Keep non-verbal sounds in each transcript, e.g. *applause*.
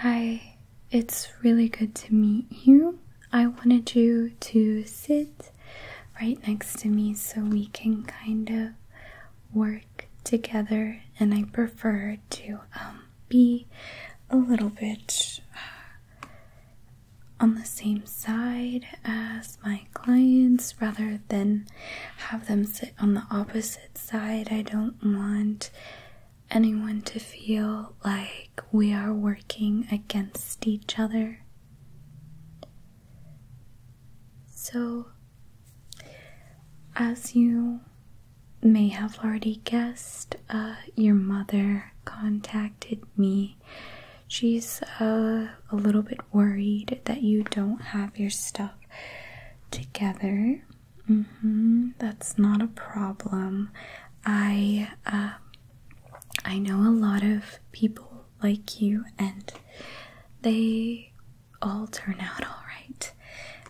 Hi, it's really good to meet you. I wanted you to sit right next to me so we can kind of work together, and I prefer to um, be a little bit on the same side as my clients rather than have them sit on the opposite side. I don't want anyone to feel like we are working against each other. So, as you may have already guessed, uh, your mother contacted me she's uh, a little bit worried that you don't have your stuff together. Mm-hmm. That's not a problem. I uh, I know a lot of people like you, and they all turn out all right,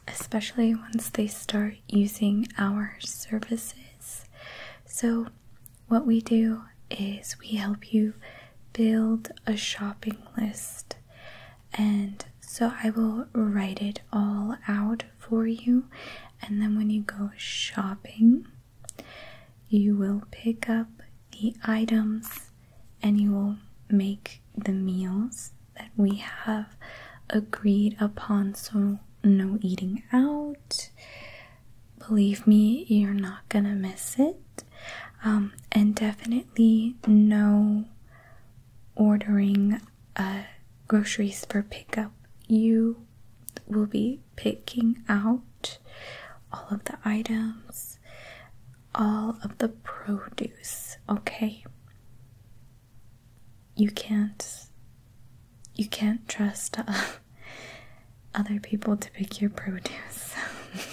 especially once they start using our services. So what we do is we help you build a shopping list. And so I will write it all out for you. And then when you go shopping, you will pick up the items and you will make the meals that we have agreed upon. So, no eating out, believe me, you're not gonna miss it. Um, and definitely no ordering uh, groceries for pickup. You will be picking out all of the items, all of the produce, okay? You can't you can't trust uh, other people to pick your produce.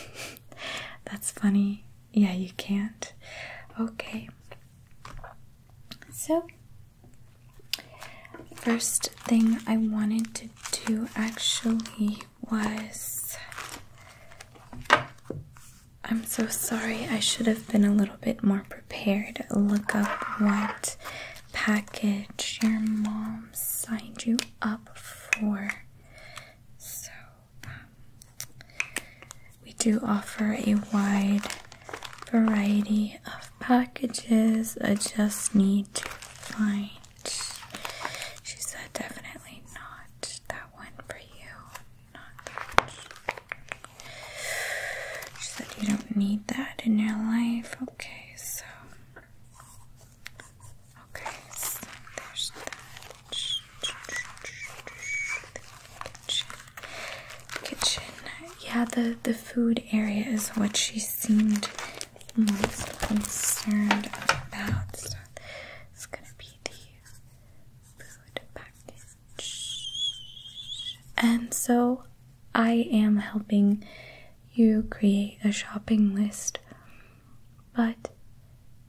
*laughs* That's funny. Yeah, you can't. Okay. So, first thing I wanted to do actually was. I'm so sorry, I should have been a little bit more prepared. Look up what package your mom signed you up for. Um, we do offer a wide variety of packages. I just need to find. She said, definitely not that one for you. Not that. She said, you don't need that in your life. Okay, so Okay, there's that. Kitchen. Yeah, the, the food area is what she seemed most concerned about. it's gonna be the food package. And so I am helping you create a shopping list, but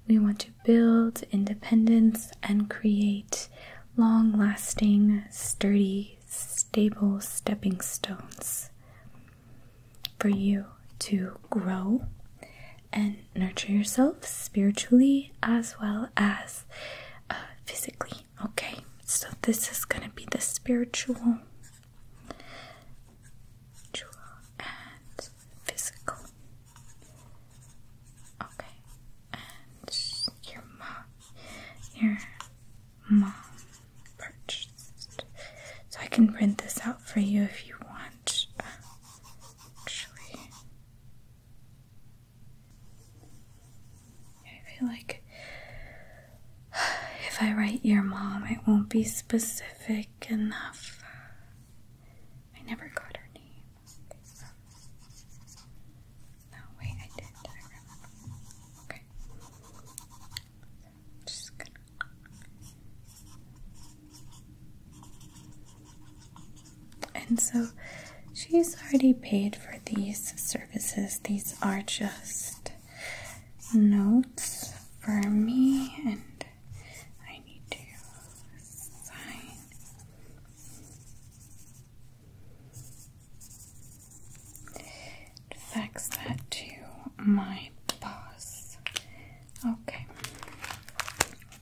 we want to build independence and create long lasting, sturdy, stable stepping stones for you to grow and nurture yourself spiritually as well as uh, physically. Okay, so this is going to be the spiritual Dual and physical. Okay, and your mom, your mom purchased. So I can print this out for you if you want. actually, I feel like *sighs* If I write your mom, it won't be specific enough. I never got her name. No, wait, I did. I remember. Okay. just gonna. And so she's already paid for these services. These are just notes for me, and I need to Fax that to my boss. Okay,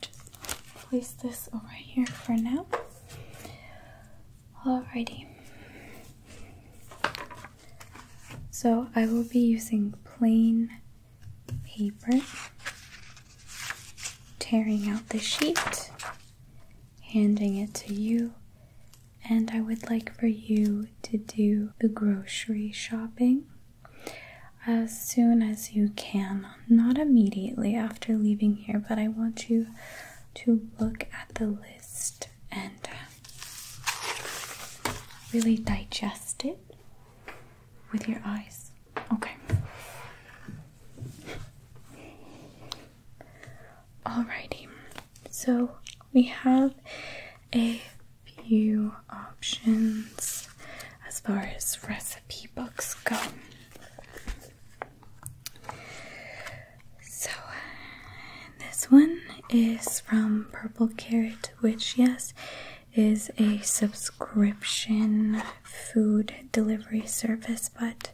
just place this over here for now. Alrighty. So I will be using plain paper, tearing out the sheet, handing it to you, and I would like for you to do the grocery shopping as soon as you can. Not immediately after leaving here, but I want you to look at the list and really digest it with your eyes. Okay. Alrighty, so we have a few options as far as recipe books go. So, this one is from Purple Carrot, which, yes, is a subscription food delivery service, but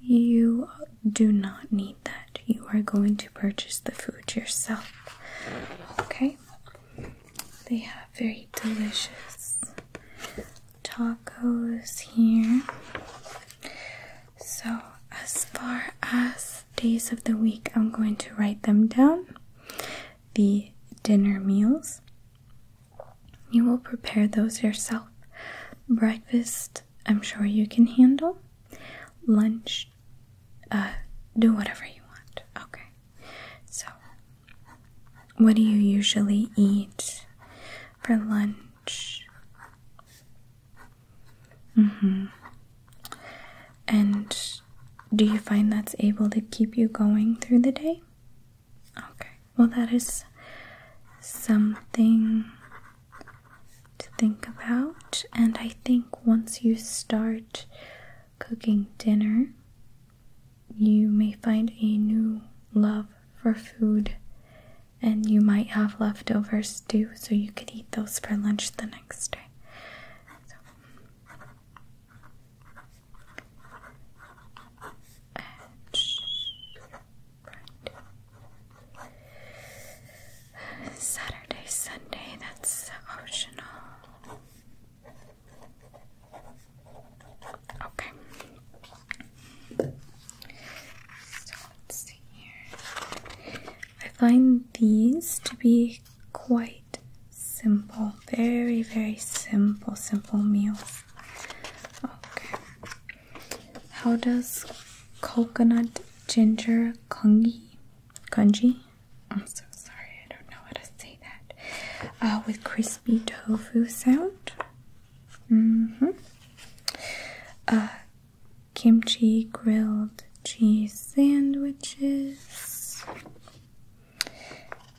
you do not need that. You are going to purchase the food yourself. Okay? They have very delicious tacos here. So, as far as days of the week, I'm going to write them down. The dinner meals. You will prepare those yourself. Breakfast, I'm sure you can handle. Lunch, uh, do whatever you want. Okay. So, what do you usually eat for lunch? Mm-hmm. And do you find that's able to keep you going through the day? Okay. Well, that is something to think about. And I think once you start cooking dinner, you may find a new love for food and you might have leftovers too, so you could eat those for lunch the next day. Saturday, Sunday, that's optional. Okay. So let's see here. I find these to be quite simple, very, very simple, simple meals. Okay. How does coconut ginger congee? Congee? I'm so sorry, I don't know how to say that. Uh, with crispy tofu sound. Mm hmm. Uh, kimchi grilled cheese sandwiches,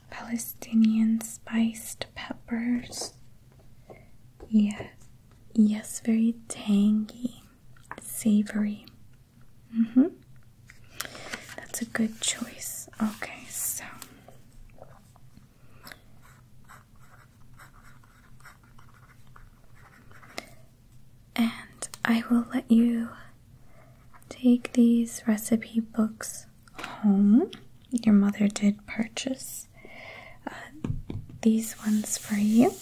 Palestinian spiced peppers. Yeah, yes, very tangy, savory. Mm hmm. That's a good choice. Okay, so and I will let you take these recipe books home. Your mother did purchase uh, these ones for you.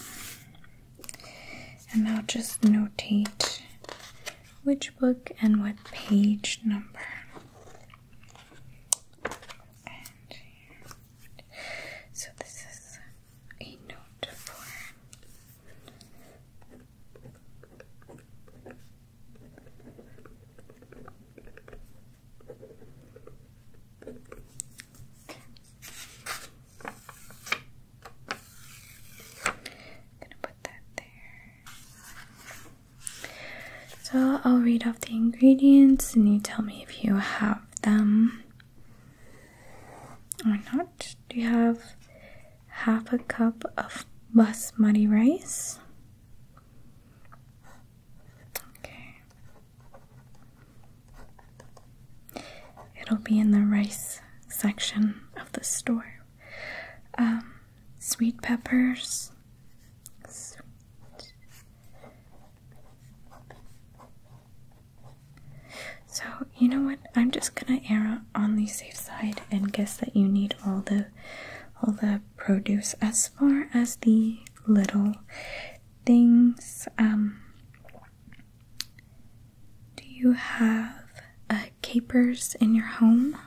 And I'll just noteate which book and what page number. so this is a note for I'm gonna put that there. So I'll read off the ingredients and you tell me if you have them or not? Do you have half a cup of basmati rice? Okay. It'll be in the rice section of the store. Um, sweet peppers. So, you know what? I'm just gonna err on the safe side and guess that you need all the all the produce. As far as the little things, um do you have uh, capers in your home?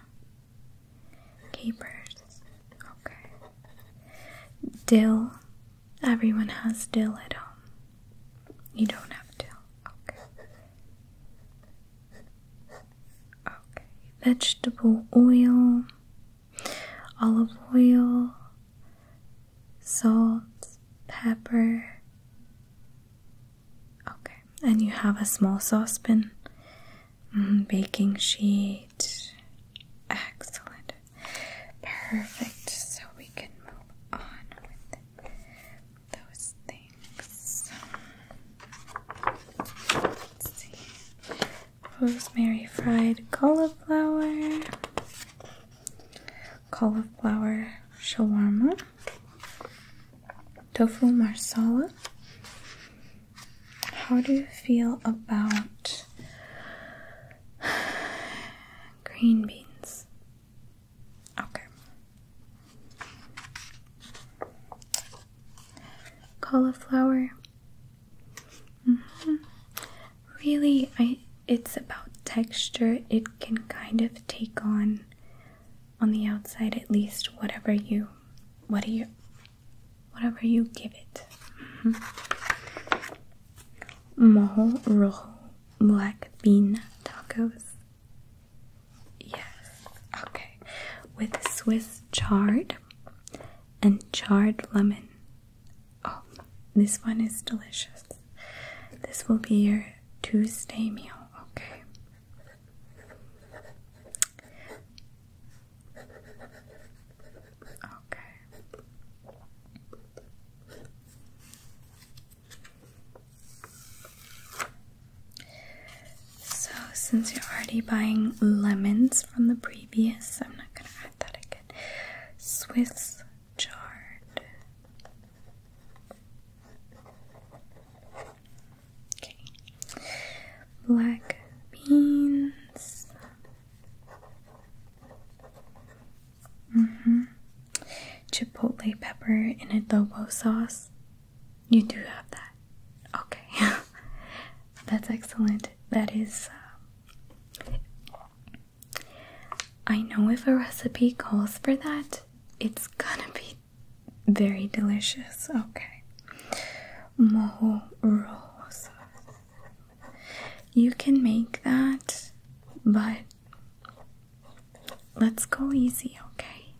Capers. Okay. Dill Everyone has dill at home. You don't have dill. Okay. Okay. Vegetable oil, olive oil, salt, pepper. Okay. And you have a small saucepan, mm-hmm. baking sheet. Excellent. Perfect. So we can move on with those things. Let's Rosemary fried cauliflower. Cauliflower shawarma. Tofu marsala. How do you feel about *sighs* Green beans. Okay. Cauliflower. Mm-hmm. Really, I it's about texture. It can kind of take on on the outside at least whatever you what do you whatever you give it. Mm-hmm mojo rojo black bean tacos. Yes, okay, with Swiss chard and charred lemon. Oh, this one is delicious. This will be your Tuesday meal, okay? Okay. So, since you're already buying lemons from the previous, I'm not gonna add that again. Swiss jarred. Okay. Black beans. Mm-hmm. Chipotle pepper in adobo sauce. You do have that. Okay. *laughs* That's excellent. That is. Um, I know if a recipe calls for that, it's gonna be very delicious. Okay. Moho rolls. You can make that, but let's go easy, okay?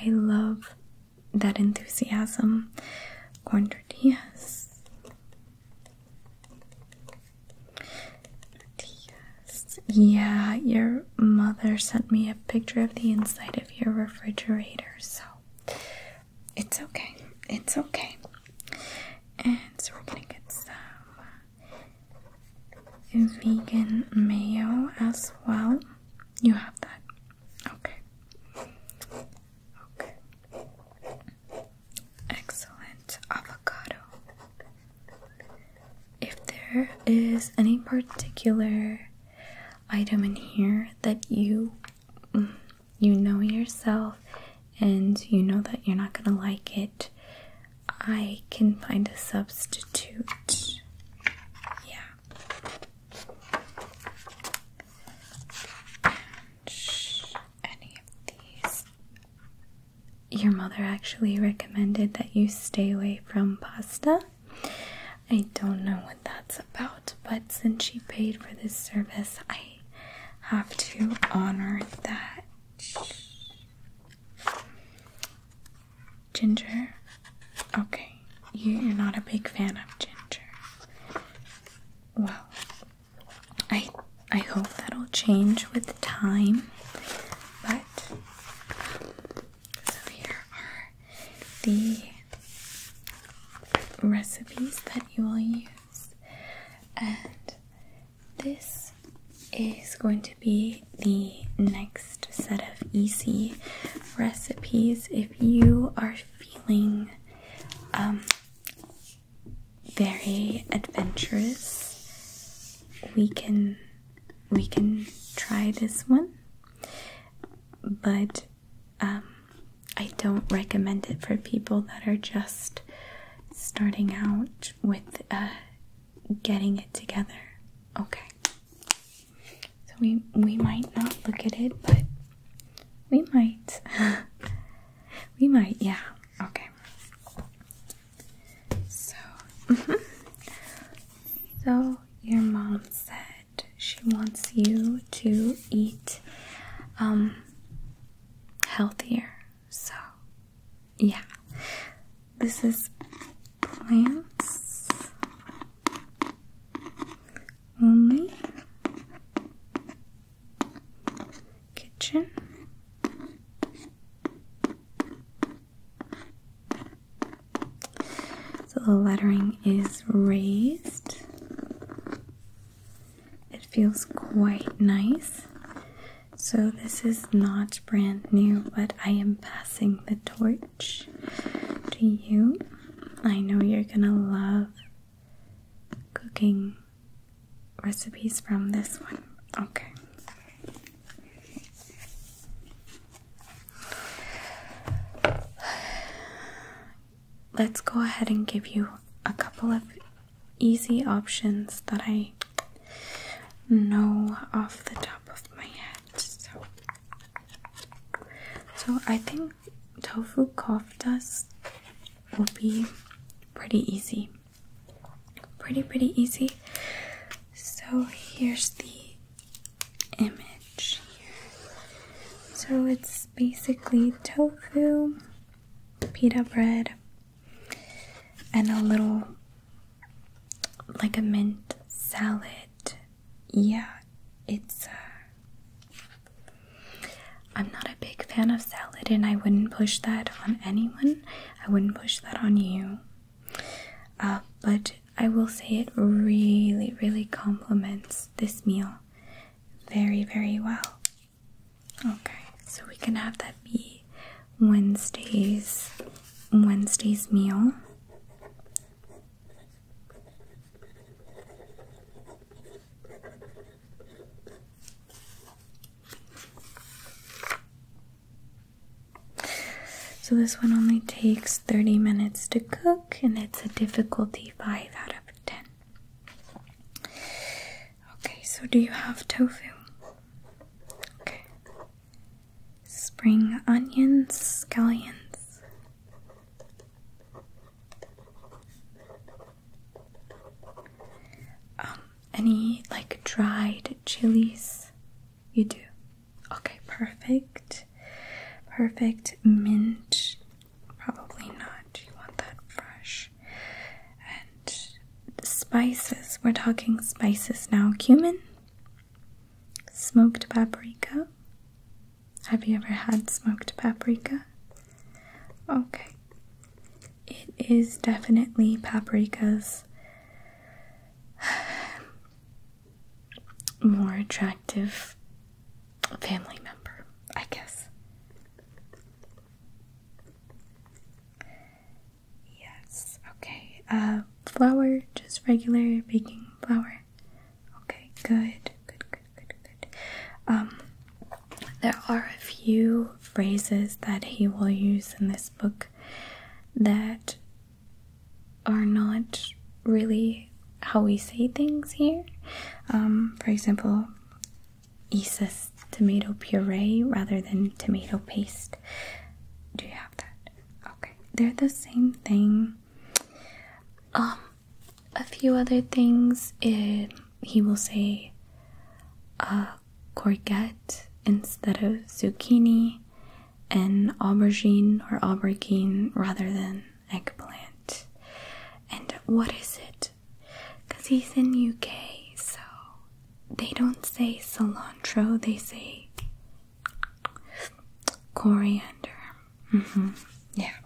I love that enthusiasm. Corn tortillas. Yeah, your mother sent me a picture of the inside of your refrigerator, so it's okay. It's okay. And so we're gonna get some vegan mayo as well. You have that. Okay. Okay. Excellent. Avocado. If there is any particular item in here that you mm, you know yourself and you know that you're not going to like it, I can find a substitute. Yeah. Any of these. Your mother actually recommended that you stay away from pasta. I don't know what that's about, but since she paid for this service, I have to honor that. Ginger? Okay, you're not a big fan of ginger. Well, I I hope that'll change with time, but so here are the recipes that you will use. And this is going to be the next set of easy recipes. If you are feeling um, very adventurous, we can we can try this one, but um, I don't recommend it for people that are just starting out with uh, getting it together. Okay. So we we might not look at it, but we might. *laughs* we might, yeah. Okay. So mm-hmm. So your mom said she wants you to eat um healthier. So, yeah, this is plants only kitchen. So the lettering is raised it feels quite nice. So, this is not brand new, but I am passing the torch to you. I know you're gonna love cooking recipes from this one. Okay let's go ahead and give you a couple of easy options that I know off the top of my head. So, so I think tofu koftas will be pretty easy. Pretty, pretty easy. So here's the image So it's basically tofu pita bread and a little like a mint salad. Yeah, it's uh, I'm not a big fan of salad and I wouldn't push that on anyone. I wouldn't push that on you. Uh, but I will say it really, really complements this meal very, very well. Okay, so we can have that be Wednesday's Wednesday's meal. So this one only takes 30 minutes to cook and it's a difficulty 5 out of 10. Okay, so do you have tofu? Okay. Spring onions, scallions. Um, any like dried chilies? You do. Okay, perfect. Perfect mint Probably not. You want that fresh. And spices. We're talking spices now. Cumin, smoked paprika. Have you ever had smoked paprika? Okay. It is definitely paprika's *sighs* more attractive family member, I guess. Yes, okay. Uh, flour, just regular baking flour. Okay, good, good, good, good, good. Um, there are a few phrases that he will use in this book that are not really how we say things here. Um, for example, Isa's tomato puree rather than tomato paste. Do you have that? Okay, they're the same thing. Um, a few other things. It, eh, he will say uh, courgette instead of zucchini, and aubergine or aubergine rather than eggplant. And what is it? because he's in UK, so they don't say cilantro, they say coriander. Mm -hmm. Yeah.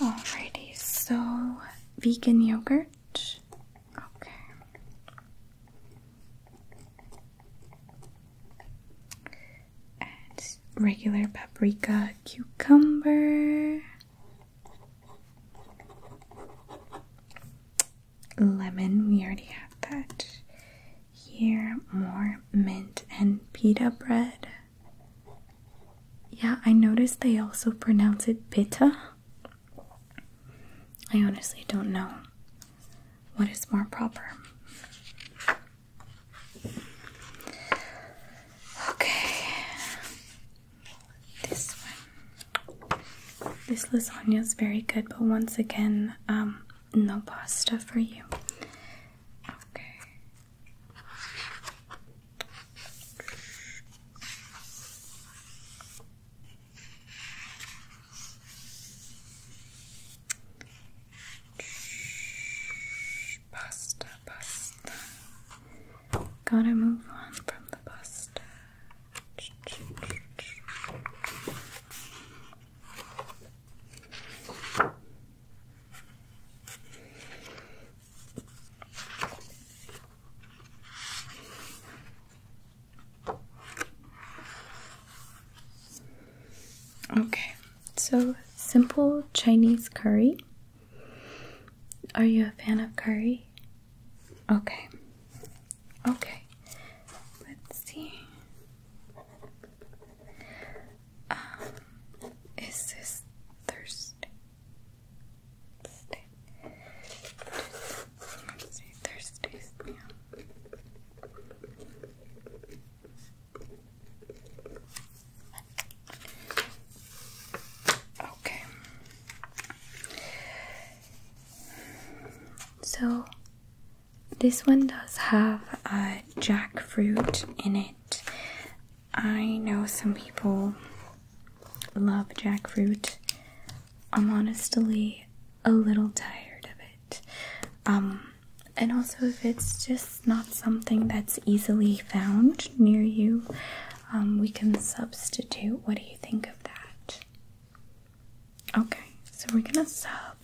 Alrighty, so vegan yogurt. Okay and regular paprika, cucumber, lemon. We already have that. Here, more mint and pita bread. Yeah, I noticed they also pronounce it pita. I honestly don't know what is more proper. Okay, this one. This lasagna is very good, but once again, um, no pasta for you. Okay. Pasta, pasta. Gotta move on from the pasta. Okay, so simple Chinese curry. Are you a fan of curry? Okay. Okay. Let's see. Um, is this Thursday? Thursday. Thursday. Okay. So this one does have a jackfruit in it. I know some people love jackfruit. I'm honestly a little tired of it. Um and also if it's just not something that's easily found near you, um, we can substitute. What do you think of that? Okay, so we're gonna sub,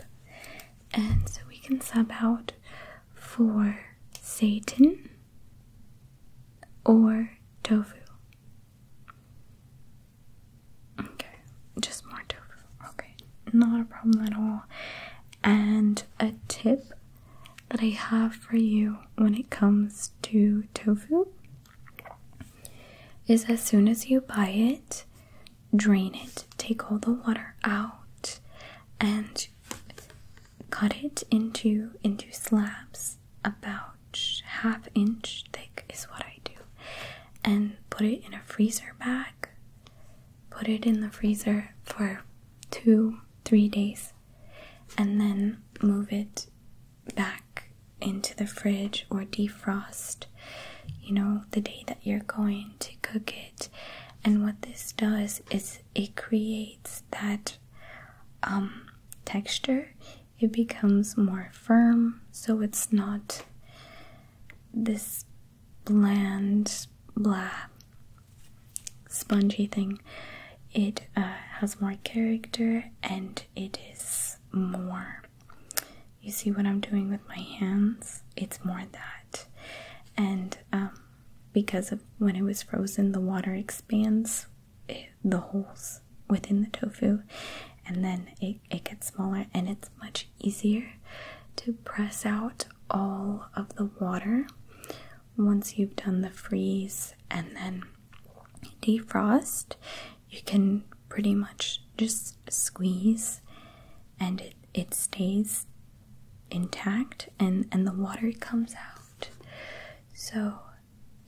and so we can sub out for Satan or tofu. Okay, just more tofu. Okay, not a problem at all. And a tip that I have for you when it comes to tofu is as soon as you buy it, drain it, take all the water out, and cut it into into slabs about half inch thick is what I do and put it in a freezer bag put it in the freezer for two, three days, and then move it back into the fridge or defrost, you know, the day that you're going to cook it. And what this does is it creates that um, texture, it becomes more firm, so it's not this bland, blah, spongy thing. It uh, has more character and it is more. You see what I'm doing with my hands? It's more that. And um, because of when it was frozen, the water expands eh, the holes within the tofu and then it, it gets smaller and it's much easier to press out all of the water once you've done the freeze and then defrost, you can pretty much just squeeze and it, it stays intact and, and the water comes out. So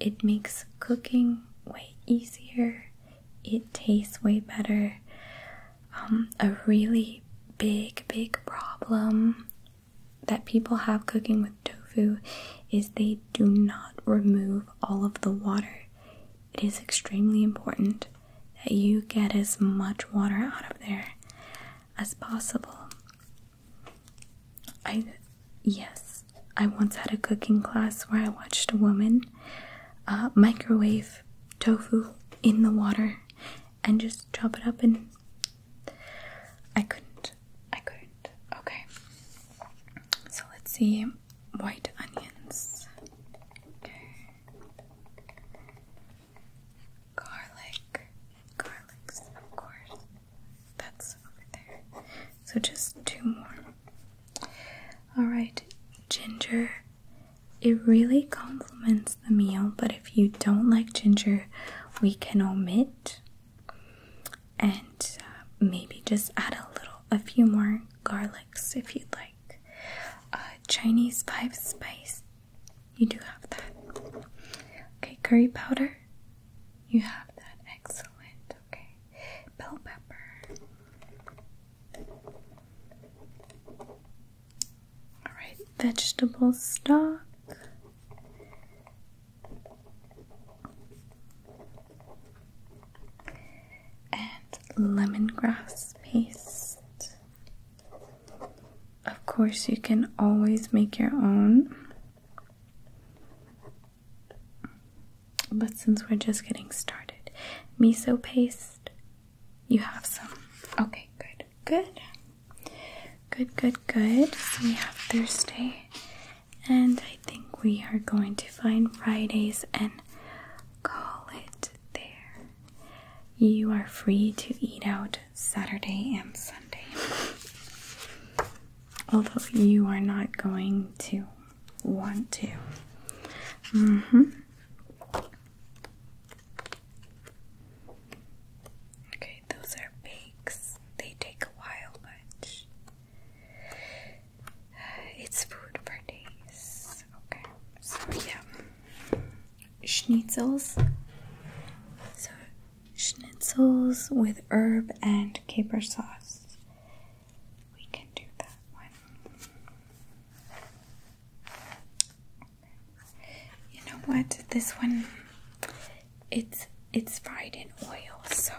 it makes cooking way easier, it tastes way better. Um, a really big, big problem that people have cooking with tofu is they do not remove all of the water. It is extremely important that you get as much water out of there as possible. I yes, I once had a cooking class where I watched a woman uh, microwave tofu in the water and just chop it up and I couldn't. I couldn't. Okay. So let's see white onions. Okay. Garlic. Garlics, of course. That's over there. So just two more. Alright, ginger it really complements the meal, but if you don't like ginger, we can omit and uh, maybe just add a little, a few more garlics if you'd like. Uh, Chinese five spice, you do have that. Okay, curry powder, you have that. Excellent. Okay, bell pepper. All right, vegetable stock. And lemongrass paste. Of course, you can always make your own. But since we're just getting started, miso paste, you have some. Okay, good good. Good, good, good. So we have Thursday, and I think we are going to find Fridays and call it there. You are free to eat out Saturday and Sunday. Although you are not going to want to. hmm. Okay, those are bakes. They take a while, but it's food for days. Okay, so yeah. Schnitzels. So, schnitzels with herb and caper sauce. We can do that one. You know what? This one it's it's fried in oil, so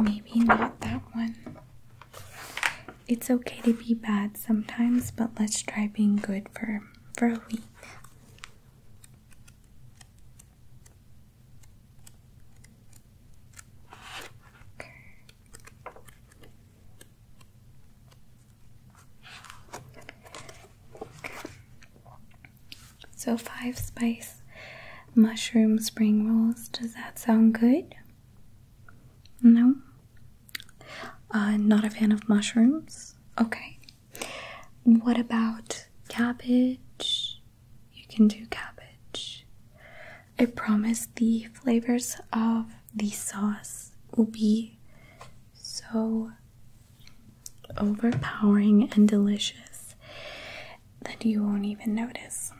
maybe not that one. It's okay to be bad sometimes, but let's try being good for for a week. So, five spice mushroom spring rolls. Does that sound good? No? Uh, not a fan of mushrooms? Okay. What about cabbage? You can do cabbage. I promise the flavors of the sauce will be so overpowering and delicious that you won't even notice.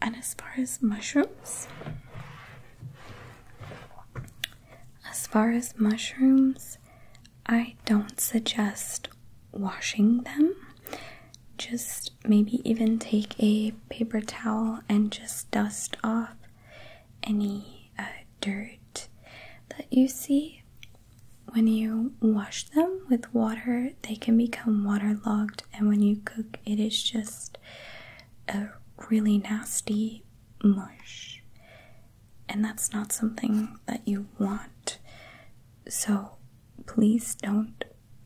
And as far as mushrooms, as far as mushrooms, I don't suggest washing them just maybe even take a paper towel and just dust off any uh, dirt that you see. When you wash them with water, they can become waterlogged, and when you cook, it is just a really nasty mush. And that's not something that you want. So please don't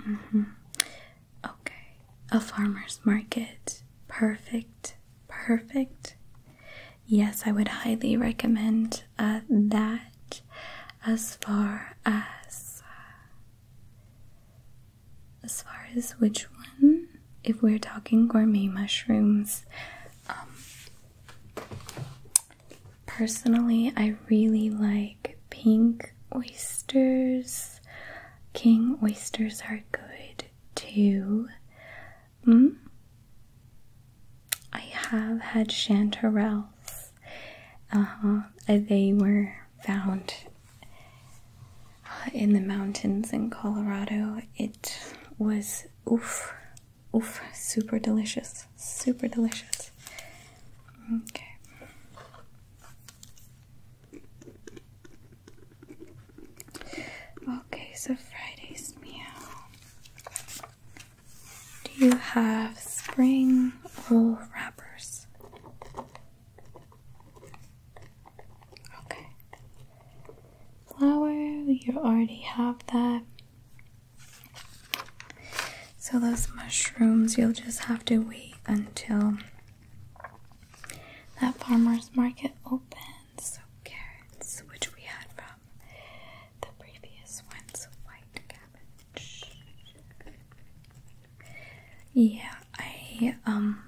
Mm-hmm. Okay, a farmer's market. Perfect, perfect. Yes, I would highly recommend uh, that as far as. Uh, as far as which one? If we're talking gourmet mushrooms, um, personally, I really like pink oysters. King oysters are good too. Mm? I have had chanterelles. Uh-huh. Uh, they were found in the mountains in Colorado. It was oof, oof, super delicious, super delicious. Okay. Okay, so Friday's meal. Do you have spring wool wrappers? Okay. Flower, you already have that. So, those mushrooms, you'll just have to wait until that farmer's market opens. So, carrots, which we had from the previous ones, white cabbage. Yeah, I, um,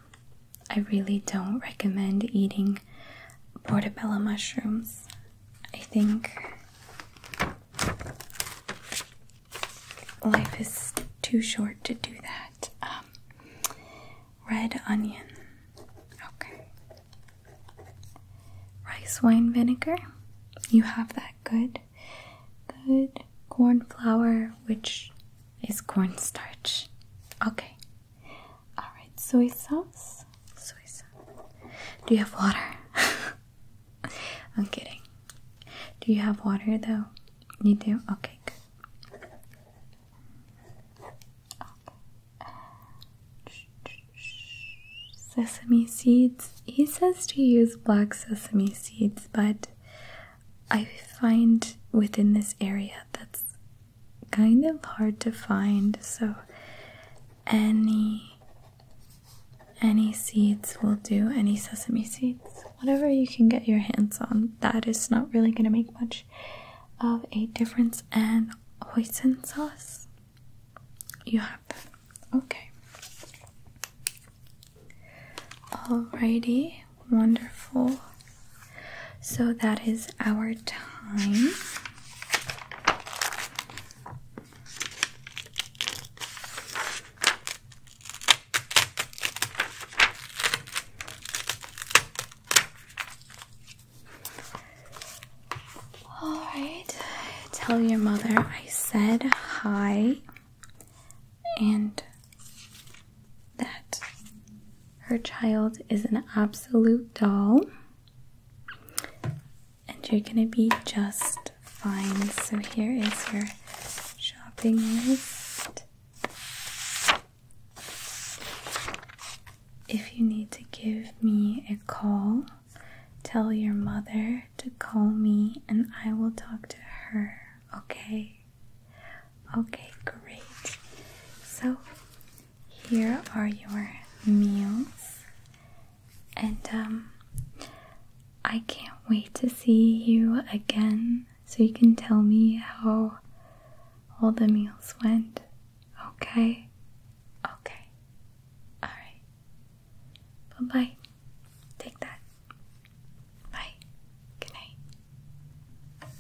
I really don't recommend eating portobello mushrooms. I think life is too short to do that. Um, red onion. Okay. Rice wine vinegar. You have that good. Good. Corn flour, which is cornstarch. Okay. Alright, soy sauce. Soy sauce. Do you have water? *laughs* I'm kidding. Do you have water though? You do? Okay, good. Sesame seeds. He says to use black sesame seeds, but I find within this area that's kind of hard to find, so any any seeds will do, any sesame seeds, whatever you can get your hands on. That is not really going to make much of a difference. And hoisin sauce, you have them. Okay. Alrighty, wonderful. So that is our time. All right, tell your mother I said hi and that her child is an absolute doll, and you're gonna be just Fine. So here is your shopping list. If you need to give me a call, tell your mother to call me and I will talk to her, okay? Okay, great. So here are your meals and um, I can't wait to see you again so you can tell me how all the meals went. Okay? Okay. Alright. Bye bye. Take that. Bye. Good night.